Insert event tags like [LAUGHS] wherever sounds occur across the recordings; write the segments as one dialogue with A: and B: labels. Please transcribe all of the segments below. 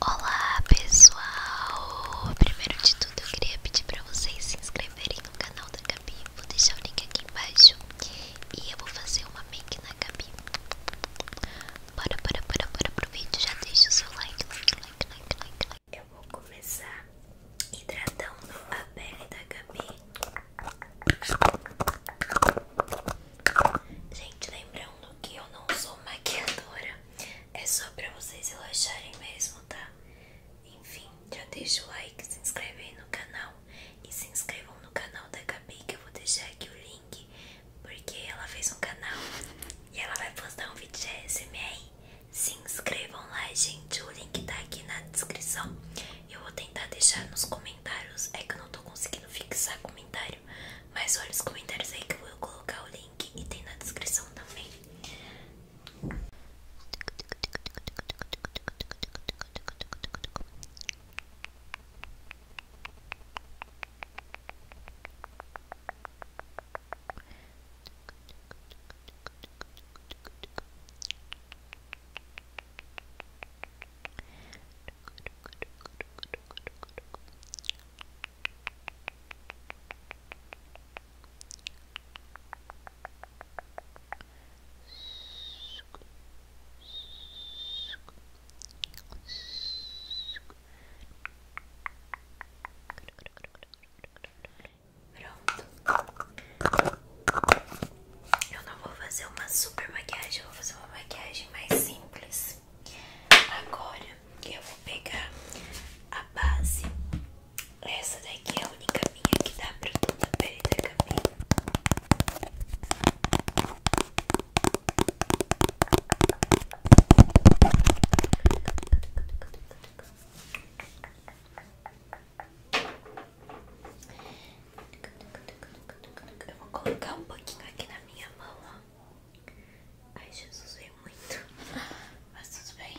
A: Olá pessoal! Primeiro de tudo eu queria pedir para vocês se inscreverem no canal da Gabi, vou deixar o link aqui embaixo e eu vou fazer uma make na Gabi. Bora, bora, bora, bora pro vídeo, já deixa o seu like. Eu vou começar hidratando a pele da Gabi. Gente, lembrando que eu não sou maquiadora, é só pra vocês relaxarem mesmo, tá? Enfim, já deixa o like, se inscreve aí no canal E se inscrevam no canal da Gabi que eu vou deixar aqui o link Porque ela fez um canal e ela vai postar um vídeo de SMR Se inscrevam lá, gente, o link tá aqui na descrição Eu vou tentar deixar nos comentários É que eu não tô conseguindo fixar comentário mas olha os comentários aí que eu vou colocar o link e tem na descrição também. Pronto. Eu não vou fazer uma super maquiagem, eu vou fazer uma maquiagem mais simples. Agora eu vou pegar a base. Essa daqui é a única minha que dá pra toda a pele da eu vou colocar um pouquinho aqui na minha mão, ó. Ai, Jesus, veio muito. Mas tudo bem.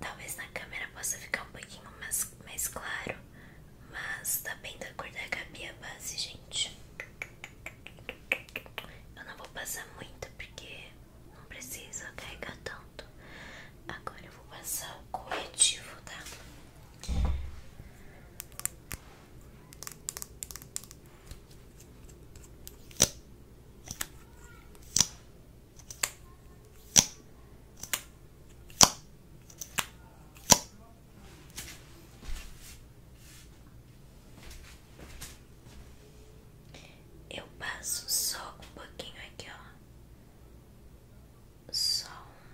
A: Talvez na câmera possa ficar um pouquinho mais, mais claro, mas tá bem da cor da Gabi a base, gente. Eu não vou passar muito porque não precisa carregar tanto. Agora eu vou passar o corretivo, tá? Eu passo só um pouquinho aqui, ó. Só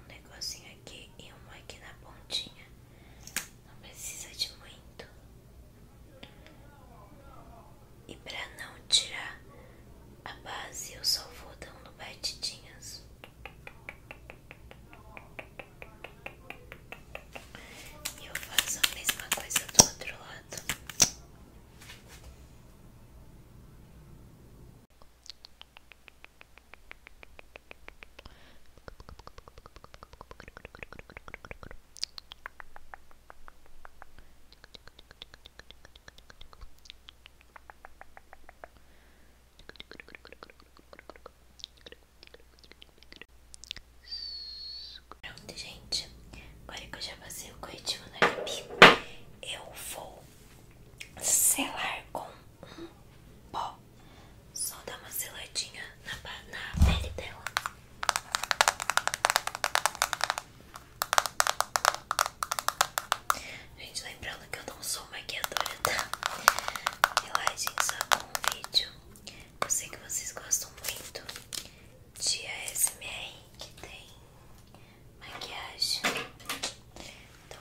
A: um negocinho aqui e um aqui na pontinha. Não precisa de muito. E para não tirar a base, eu só vou dando batidinhas. E eu faço a mesma coisa do outro lado. Pronto, gente. Agora que eu já passei o corretivo na lip, eu vou selar com um pó. Só dar uma seladinha na, na pele dela. Gente, lembrando que eu não sou maquiadora, tá? Relaxem só com o vídeo. Eu sei que vocês gostam muito de ASMR que tem maquiagem. Então...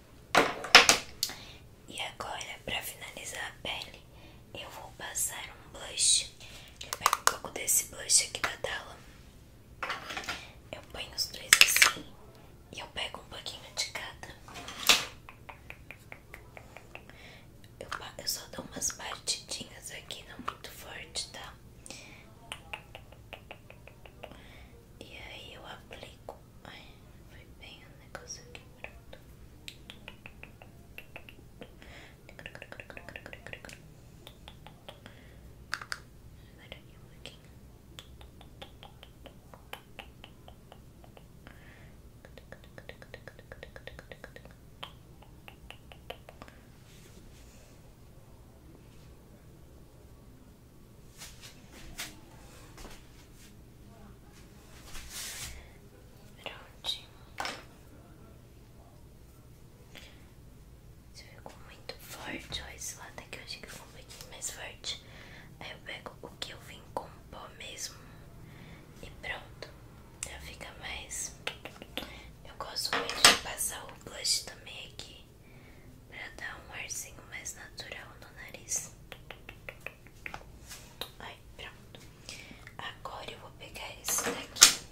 A: E agora, pra finalizar a pele, eu vou passar um blush. Eu pego um pouco desse blush aqui da tela. Eu ponho os dois assim e eu pego um pouquinho de cada. Eu, eu só dou umas batidinhas aqui, não muito forte, tá? E aí eu aplico Ai, foi bem o um negócio aqui pronto. Prontinho. Se ficou muito forte, ó, esse lado aqui eu achei que ficou um pouquinho mais forte. Aí eu pego o que eu vim com pó mesmo e pronto. Já fica mais. Eu gosto muito de passar o blush também aqui pra dar um arzinho mais natural no nariz. Aí, pronto. Agora eu vou pegar esse daqui.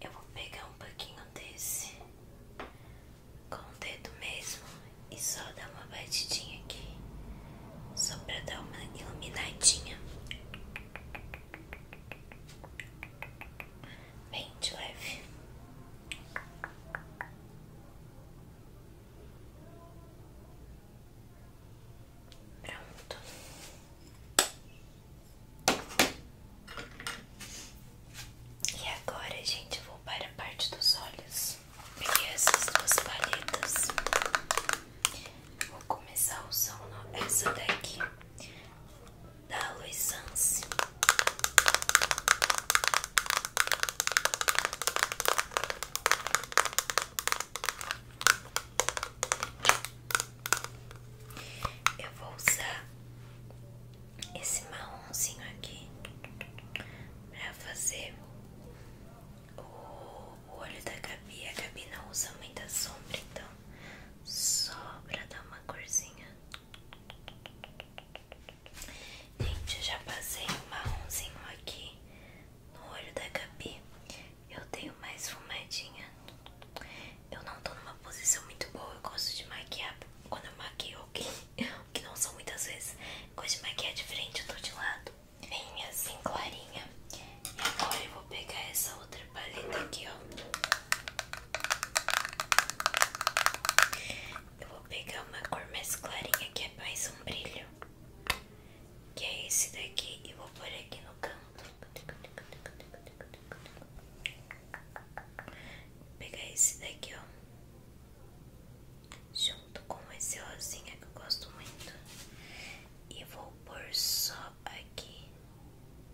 A: Eu vou pegar um pouquinho desse com o dedo mesmo e só dar uma batidinha aqui, só pra dar uma iluminadinha. Bem leve. Pronto. E agora, gente, vou para a parte dos olhos. Peguei essas duas paletas. Vou começar usando essa daqui da Luisance. Eu vou usar esse marronzinho aqui para fazer o olho da Gabi. A Gabi não usa muita sombra, então
B: só pra dar uma corzinha. Gente, eu já passei um marronzinho aqui
A: no olho da Gabi. Eu tenho mais fumadinha. Eu não tô numa posição muito boa. Eu gosto de maquiar quando eu maquio, que, [LAUGHS] que não são muitas vezes. Eu gosto de maquiar de frente, eu tô de lado. vem assim, clarinha. E agora eu vou pegar essa outra paleta aqui, ó. Eu vou pegar uma cor mais clarinha que é mais um brilho. Que é esse daqui e vou pôr aqui no canto. Vou pegar esse daqui, ó. Junto com esse rosinha que eu gosto muito. E vou pôr só aqui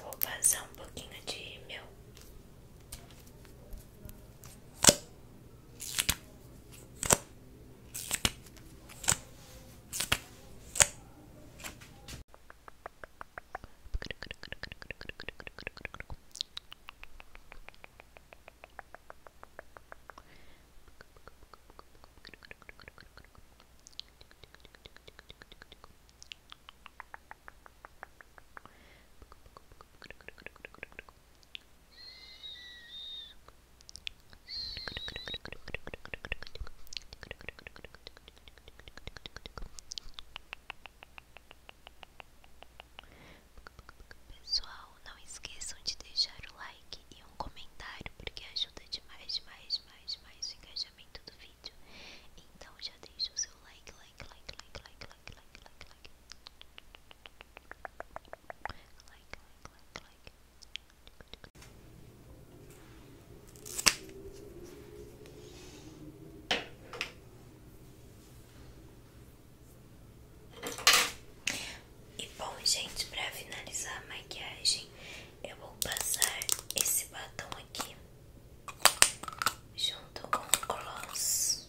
B: vou passar um pouquinho de meu.
A: Pessoal, não esqueçam de deixar o like e um comentário, porque ajuda demais, mais, demais, demais engajamento do vídeo. Então já deixa o seu like, like, like, like, like, like, like, like, like. Like, like, like, like. E bom, gente, para finalizar a maquiagem, eu vou passar esse batom aqui junto com o gloss.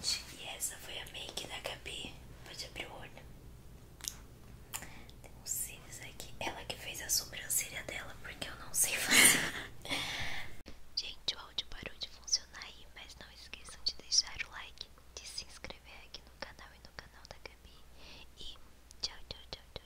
A: E essa foi a make da Gabi. Pode abrir o olho. Tem um cílios aqui. Ela que fez a sobrancelha dela, porque eu não sei fazer. [LAUGHS] Gente, o áudio parou de funcionar aí, mas não esqueçam de deixar
B: o like, de se inscrever aqui no canal e no canal da Gabi. E tchau, tchau, tchau, tchau,